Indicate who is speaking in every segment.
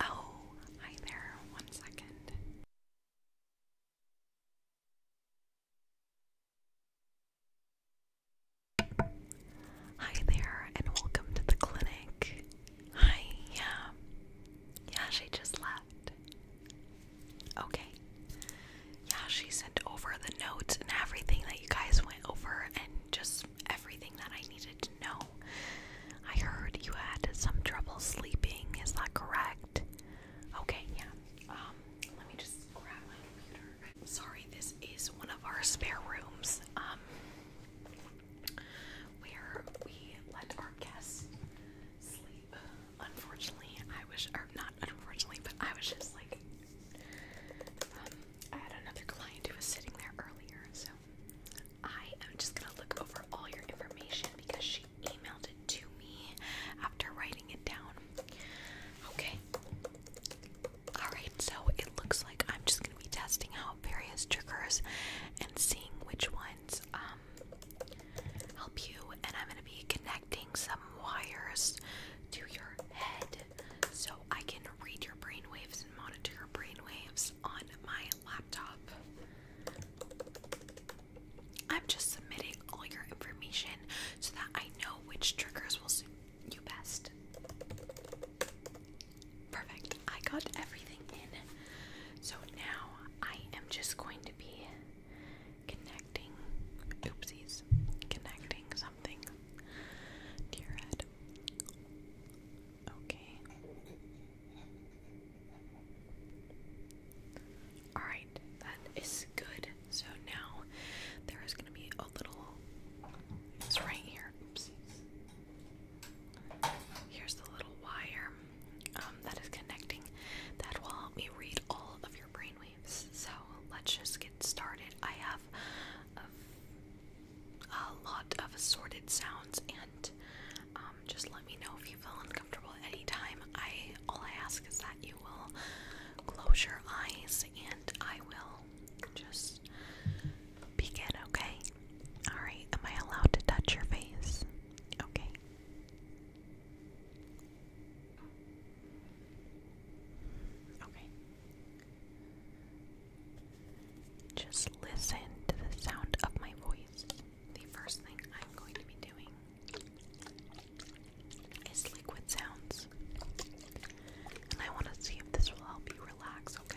Speaker 1: Oh, hi there. One second. Hi there, and welcome to the clinic. Hi, yeah. Yeah, she just left. Okay. Yeah, she sent over the notes and everything that you guys over and just everything that I needed to know. I heard you had some trouble sleeping, is that correct? Okay, yeah. Um, let me just grab my computer. Sorry, this is one of our spare rooms. Um, where we let our guests sleep. Unfortunately, I was, not unfortunately, but I was just like, um, I had another client who was sitting there earlier, so I am just gonna look over all your information because she emailed it to me after writing it down. Okay. Alright, so it looks like I'm just gonna be testing out various triggers and seeing which ones um, help you and I'm gonna be connecting some wires to your head so I can read your brainwaves and monitor your brainwaves on my laptop. I'm just submitting all your information so that I know which triggers will suit you best. Perfect. I got everything in. So now I am just going to be connecting. Oopsies. Connecting something to your head. Okay. Alright, that is good. So now there is going to be a little. It's right here. Oopsies. Here's the little wire um, that is connecting. That will help me read all of your brainwaves. So let's just get started. I have of a lot of assorted sounds and um, just let me know if you feel uncomfortable anytime. I all I ask is that you will close your eyes and I will just begin, okay? Alright, am I allowed to touch your face? Okay. Okay. Just listen to the sound of my voice. The first thing I'm going to be doing is liquid sounds. And I want to see if this will help you relax, okay?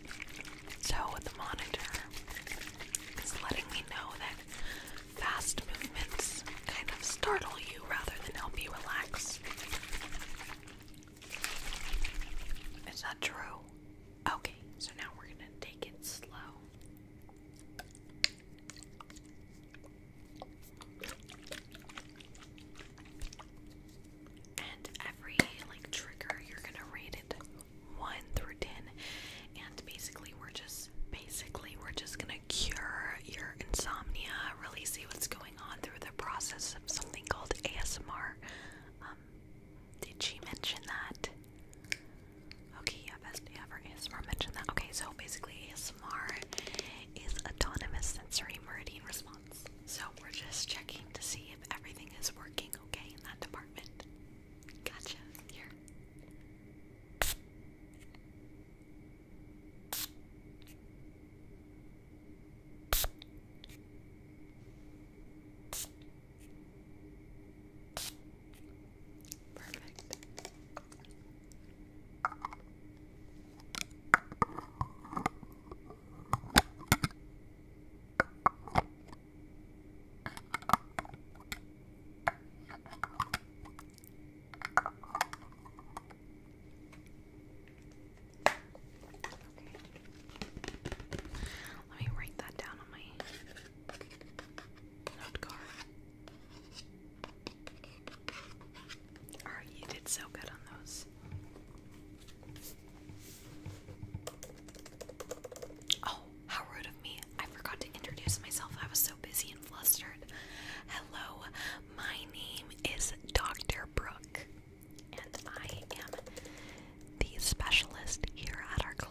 Speaker 1: So the monitor is letting me know that fast movements kind of startle you rather than help you relax. Is that true? Okay, so now we're gonna take it slow and every like trigger you're gonna rate it one through ten and basically we're just basically we're just gonna cure your insomnia really see what's going on through the process of something called ASMR um, did she mention that okay yeah best yeah for ASMR mentioned that okay so basically ASMR is autonomous sensory meridian response so we're just checking to see if everything is working okay in that department Gotcha. Here. Perfect. Let me write that down on my note Alright, you did so good on those. Oh, how rude of me. I forgot to introduce myself. I was so busy and flustered. Hello, my name is Dr. Brooke, and I am the specialist here at our clinic.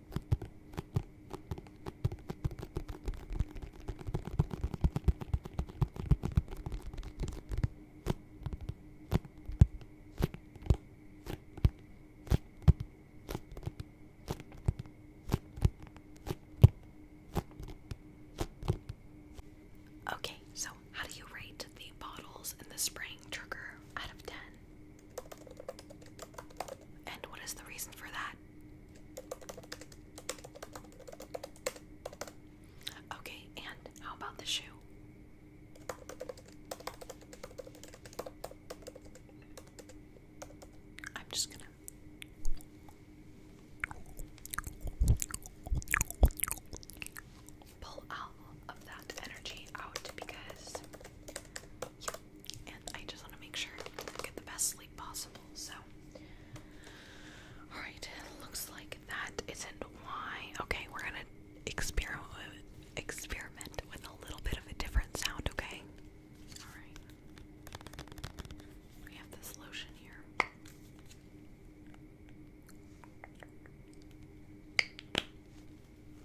Speaker 1: Okay, so how do you rate the bottles and the spraying trigger out of 10? And what is the reason for that? Okay, and how about the shoe? I'm just gonna. Pull all of that energy out because, and I just want to make sure I get the best sleep possible. So, all right, looks like that isn't why. Okay, we're gonna experiment with a little bit of a different sound. Okay, all right. We have this lotion here.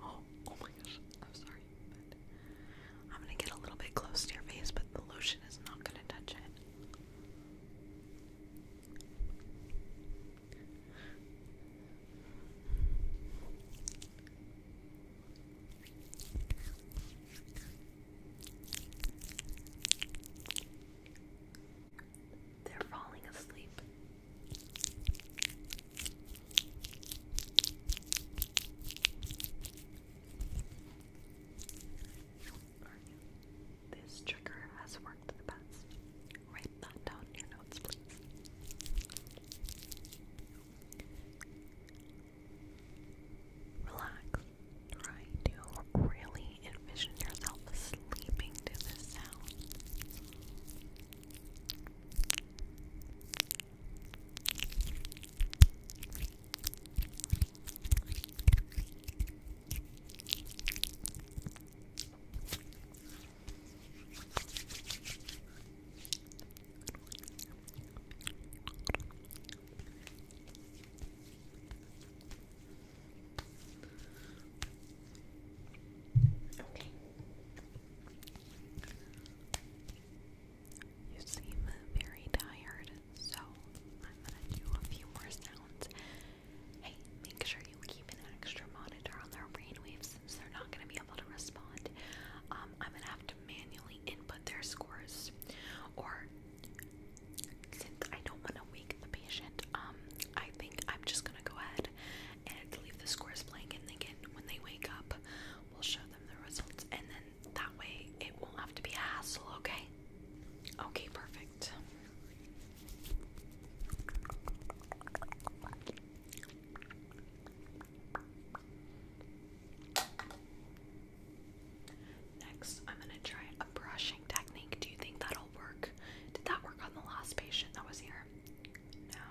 Speaker 1: Oh, oh, my gosh. I'm sorry. I'm going to get a little bit close to your face, but the lotion is not going to touch it. They're falling asleep. This trigger has worked the best. Write that down in your notes, please. Relax. Try to really envision yourself sleeping to this sound. Okay. You seem very tired, so I'm gonna do a few more sounds. Hey, make sure you keep an extra monitor on their brainwaves since they're not gonna be able to respond. Um, I'm gonna have to manually input their scores, or since I don't want to wake the patient, um, I think I'm just gonna go ahead and leave the scores blank, and they when they wake up, we'll show them the results, and then that way it won't have to be a hassle. Okay? Okay, perfect. Next, I'm gonna try a brushing technique. Do you think that'll work? Did that work on the last patient that was here? No.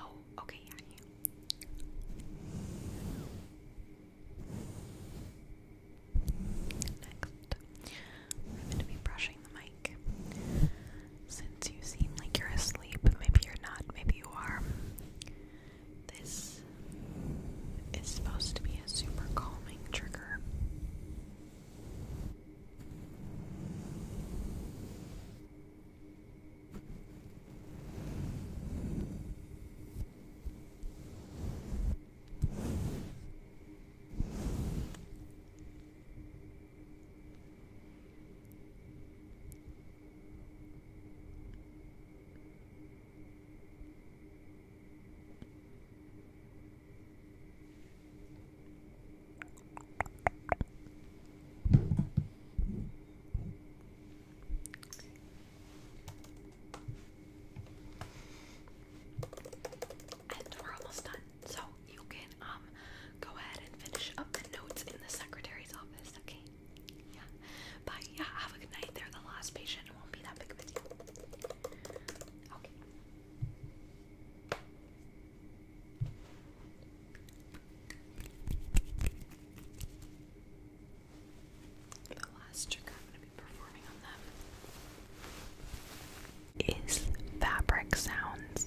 Speaker 1: Oh, okay, Next, I'm gonna be brushing the mic. Since you seem like you're asleep, maybe you're not, maybe you are. This is supposed to be a super calming trigger. And we're almost done. So you can um go ahead and finish up the notes in the secretary's office, okay? Yeah. But yeah, have a good night. They're the last patient. It won't be that big of a deal. Okay. The last trick I'm going to be performing on them is fabric sounds.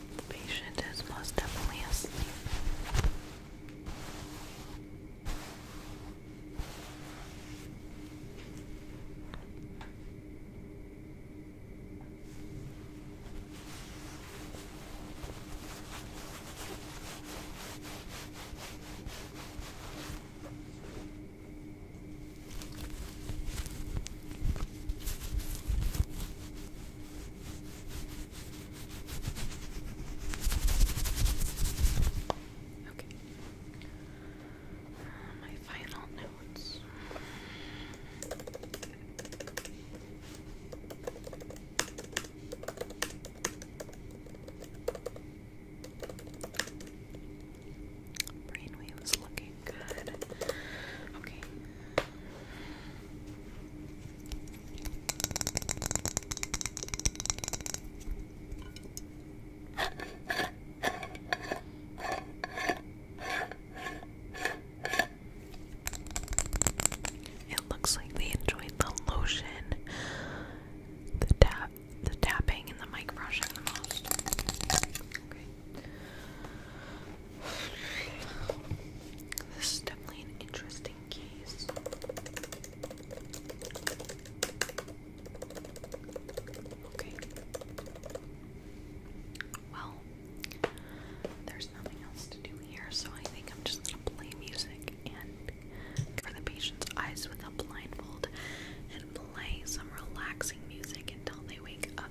Speaker 1: The patient is most definitely asleep. Okay. My final notes. Brainwave was looking good. Okay, it looks like they enjoyed the lotion, the tap, the tapping, and the mic brushing the most. This is definitely an interesting case. Okay. Well, there's nothing else to do here, so I think I'm just gonna play music and cover the patient's eyes with a blindfold and play some relaxing music until they wake up.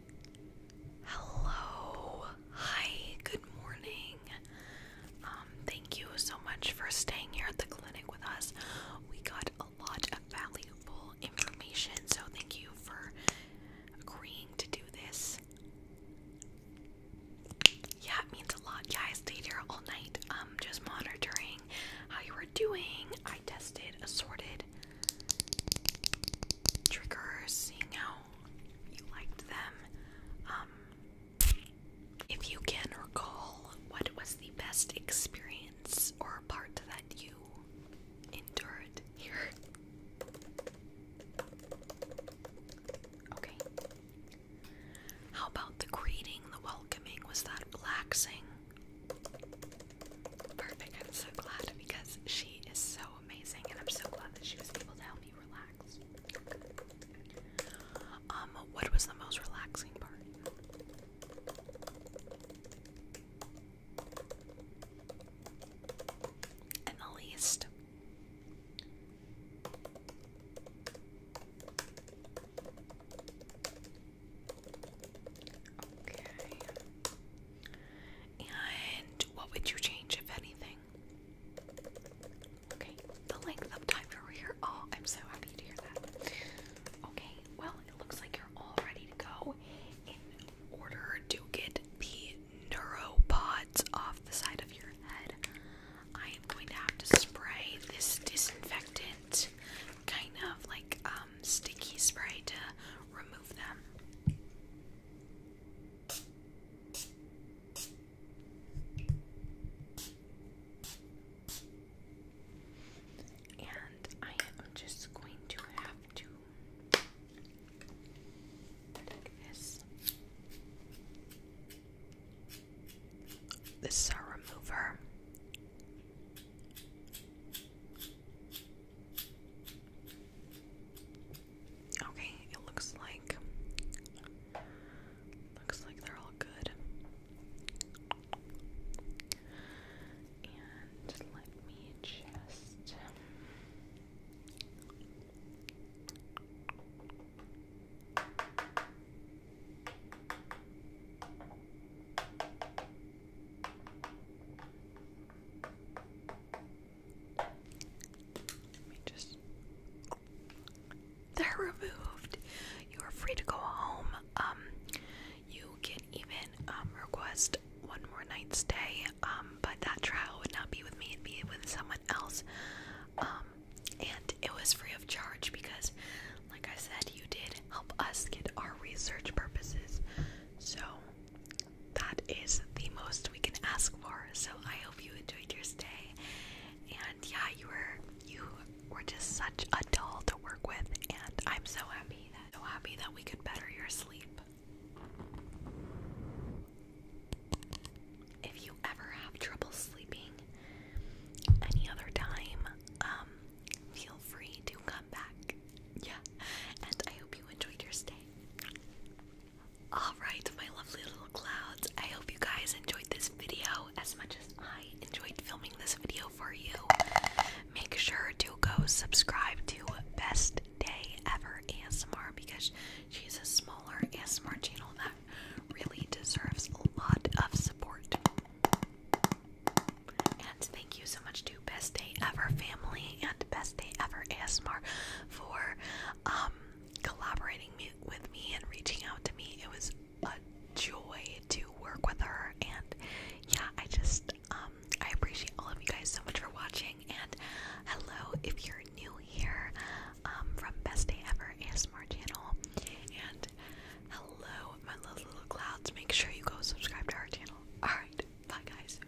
Speaker 1: Hello. Hi. Good morning. Um, thank you so much for staying here at the clinic with us. We got a lot of valuable information, so thank you for agreeing to do this. Yeah, it means a lot. Yeah, I stayed here all night, um, just monitoring how you were doing. I tested assorted triggers, seeing how you liked them. Um, if you can recall, what was the best experience or part that you endured here? Okay. How about the greeting, the welcoming? Was that relaxing? Perfect. I'm so glad because she is so amazing, and I'm so glad that she was able to help me um, what was the most relaxing part? And the least. Okay. And what would you change, if anything? Okay, the length of time for here. Oh, I'm so happy to hear that. Okay, well, it looks like you're all ready to go. In order to get the neuropods off the side of your head, I am going to have to spray this disinfectant kind of like um sticky spray to remove them. And I am just going to have to take this. This is our remover. Okay, it looks like looks like they're all good. And let me just they're removed. You are free to go home. Um, you can even um request one more night stay. Um, but that trial would not be with me; it'd be with someone else. Um, and it was free of charge because, like I said, you did help us get our research purposes. So that is the most we can ask for. So I hope you enjoyed your stay. And yeah, you were you were just such a doll to work with and I'm so happy that so happy that we could better your sleep. If you ever have trouble sleeping any other time, um, feel free to come back. Yeah. And I hope you enjoyed your stay. Alright, my lovely little clouds, I hope you guys enjoyed this video as much as I enjoyed filming this video for you. Make sure to go subscribe to Best Day Ever ASMR because she's a smaller ASMR channel that really deserves a lot of support. And thank you so much to Best Day Ever family and Best Day Ever ASMR for um, collaborating me, with me and reaching out to me. It was a joy to work with her, and yeah, I just um, I appreciate all of you guys so much for watching. And hello, if you're new here um, from Best Day Ever ASMR channel, and hello, my little little clouds. Make sure you go subscribe to our channel. All right, bye guys.